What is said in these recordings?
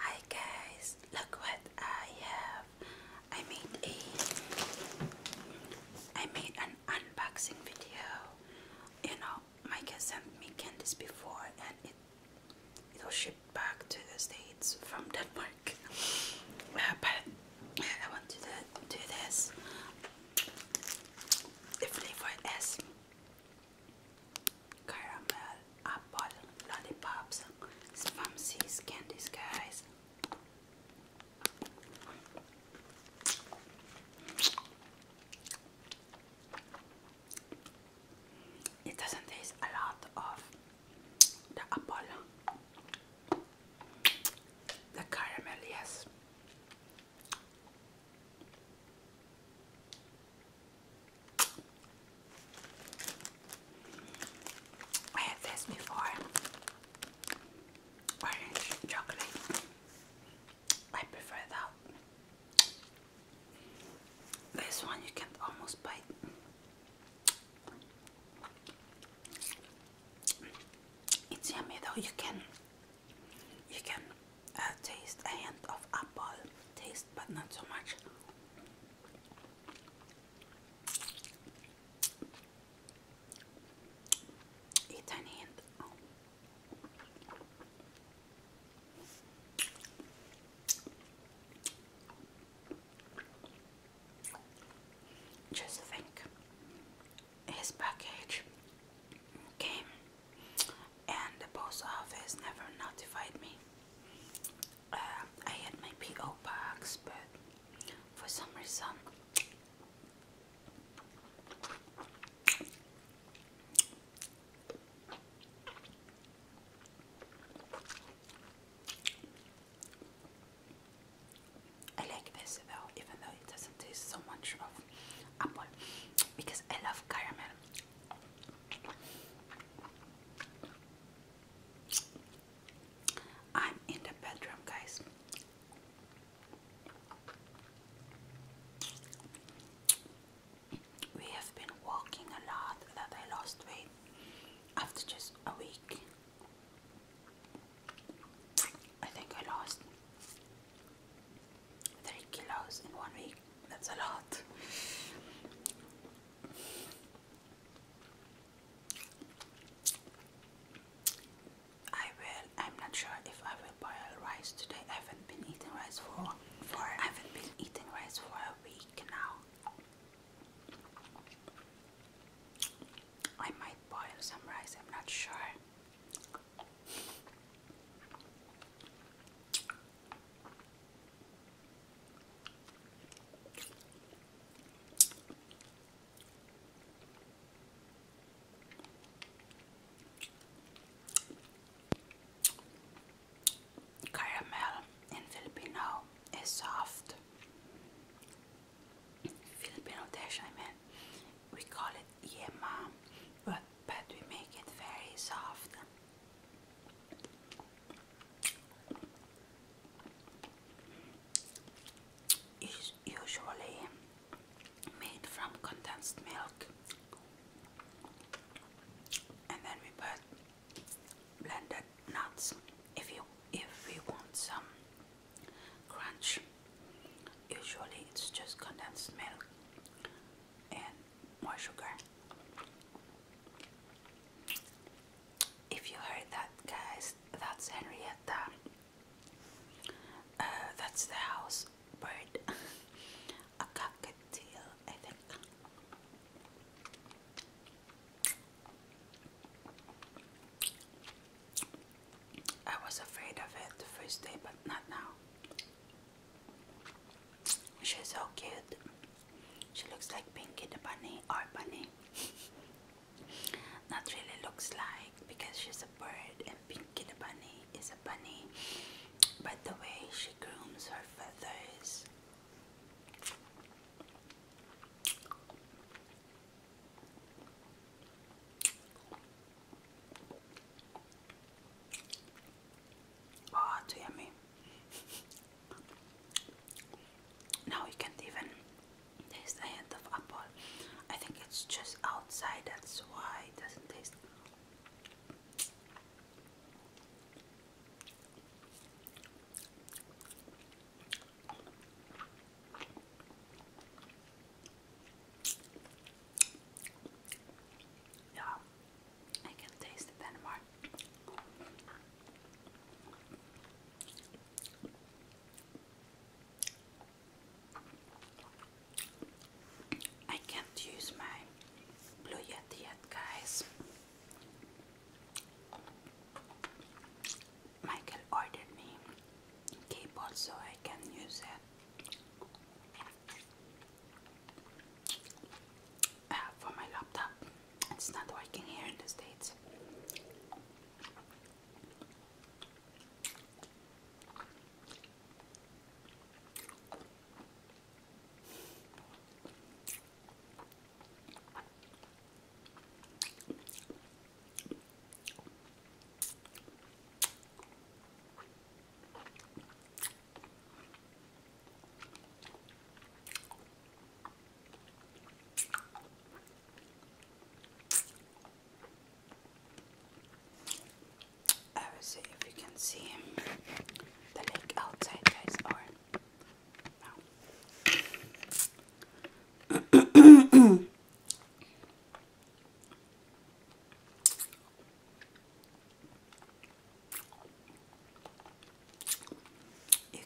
Hi guys, look what I have. I made a I made an unboxing video. You know, Mike sent me candies before and it it was shipped back to the States from Denmark. Uh, but I want to do, this. The flavor is caramel, apple, lollipops, spamsies, candies, guys. It doesn't taste a lot of the apple, the caramel, yes. I had this before. Orange chocolate. I prefer that. This one you can almost bite. It's yummy though. You can, you can uh, taste a hint of apple taste, but not so much. A tiny hint. Just think his package came and the post office never notified me. Uh, I had my PO box, but for some reason, I like this though, even though it doesn't taste so much of apple because I love caramel. I'm in the bedroom, guys. We have been walking a lot that I lost weight after just a week. I think I lost Three kilos in one week. That's a lot. I will. I'm not sure if I will boil rice today. I haven't been eating rice for for. I haven't been eating rice for a week now. I might boil some rice. I'm not sure. Caramel in Filipino is soft. Filipino dish, I mean, we call it yeah mom, but, but we make it very soft. usually made from condensed milk and then we put blended nuts if you if we want some crunch. Usually it's just condensed milk and more sugar. If you heard that, guys, that's Henrietta. Uh, that's the house bird, a cockatiel, I think. I was afraid of it the first day, but not now. She's so cute. She looks like Pinky the Bunny or Bunny. not really looks like because she's a bird and Pinky the Bunny is a bunny. But the way she grooms her feathers Oh, too yummy. now we can't even taste a hint of apple. I think it's just outside, that's why it doesn't taste. Yeah, I can taste it anymore. I can't use my blue yet guys. Michael ordered me keyboard so I can use it uh, for my laptop. It's not working here in the States. I will see if you can see the lake outside, guys, or you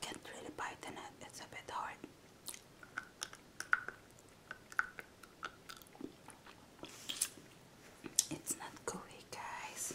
can't really bite in it, it's a bit hard. It's not gooey, guys.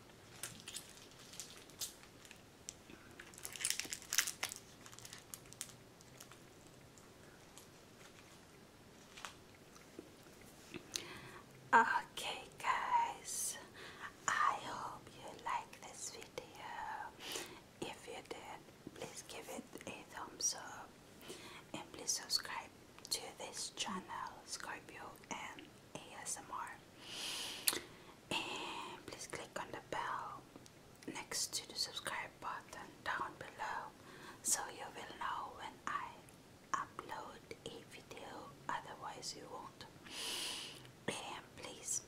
Okay, guys, I hope you like this video. If you did, please give it a thumbs up and please subscribe to this channel, Scorpio and ASMR. And please click on the bell next to the subscribe button down below so you will know when I upload a video, otherwise, you won't. And please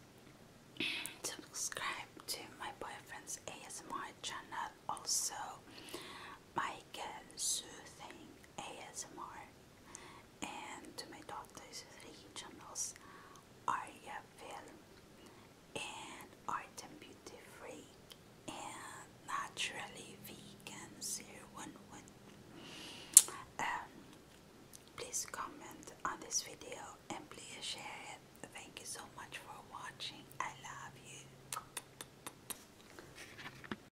subscribe to my boyfriend's ASMR channel, also my Soothing ASMR and to my daughter's regionals Aria Film and Art and Beauty Freak and Naturally Vegan 011. Um, please comment on this video and please share it. Thank you so much for watching. I love you.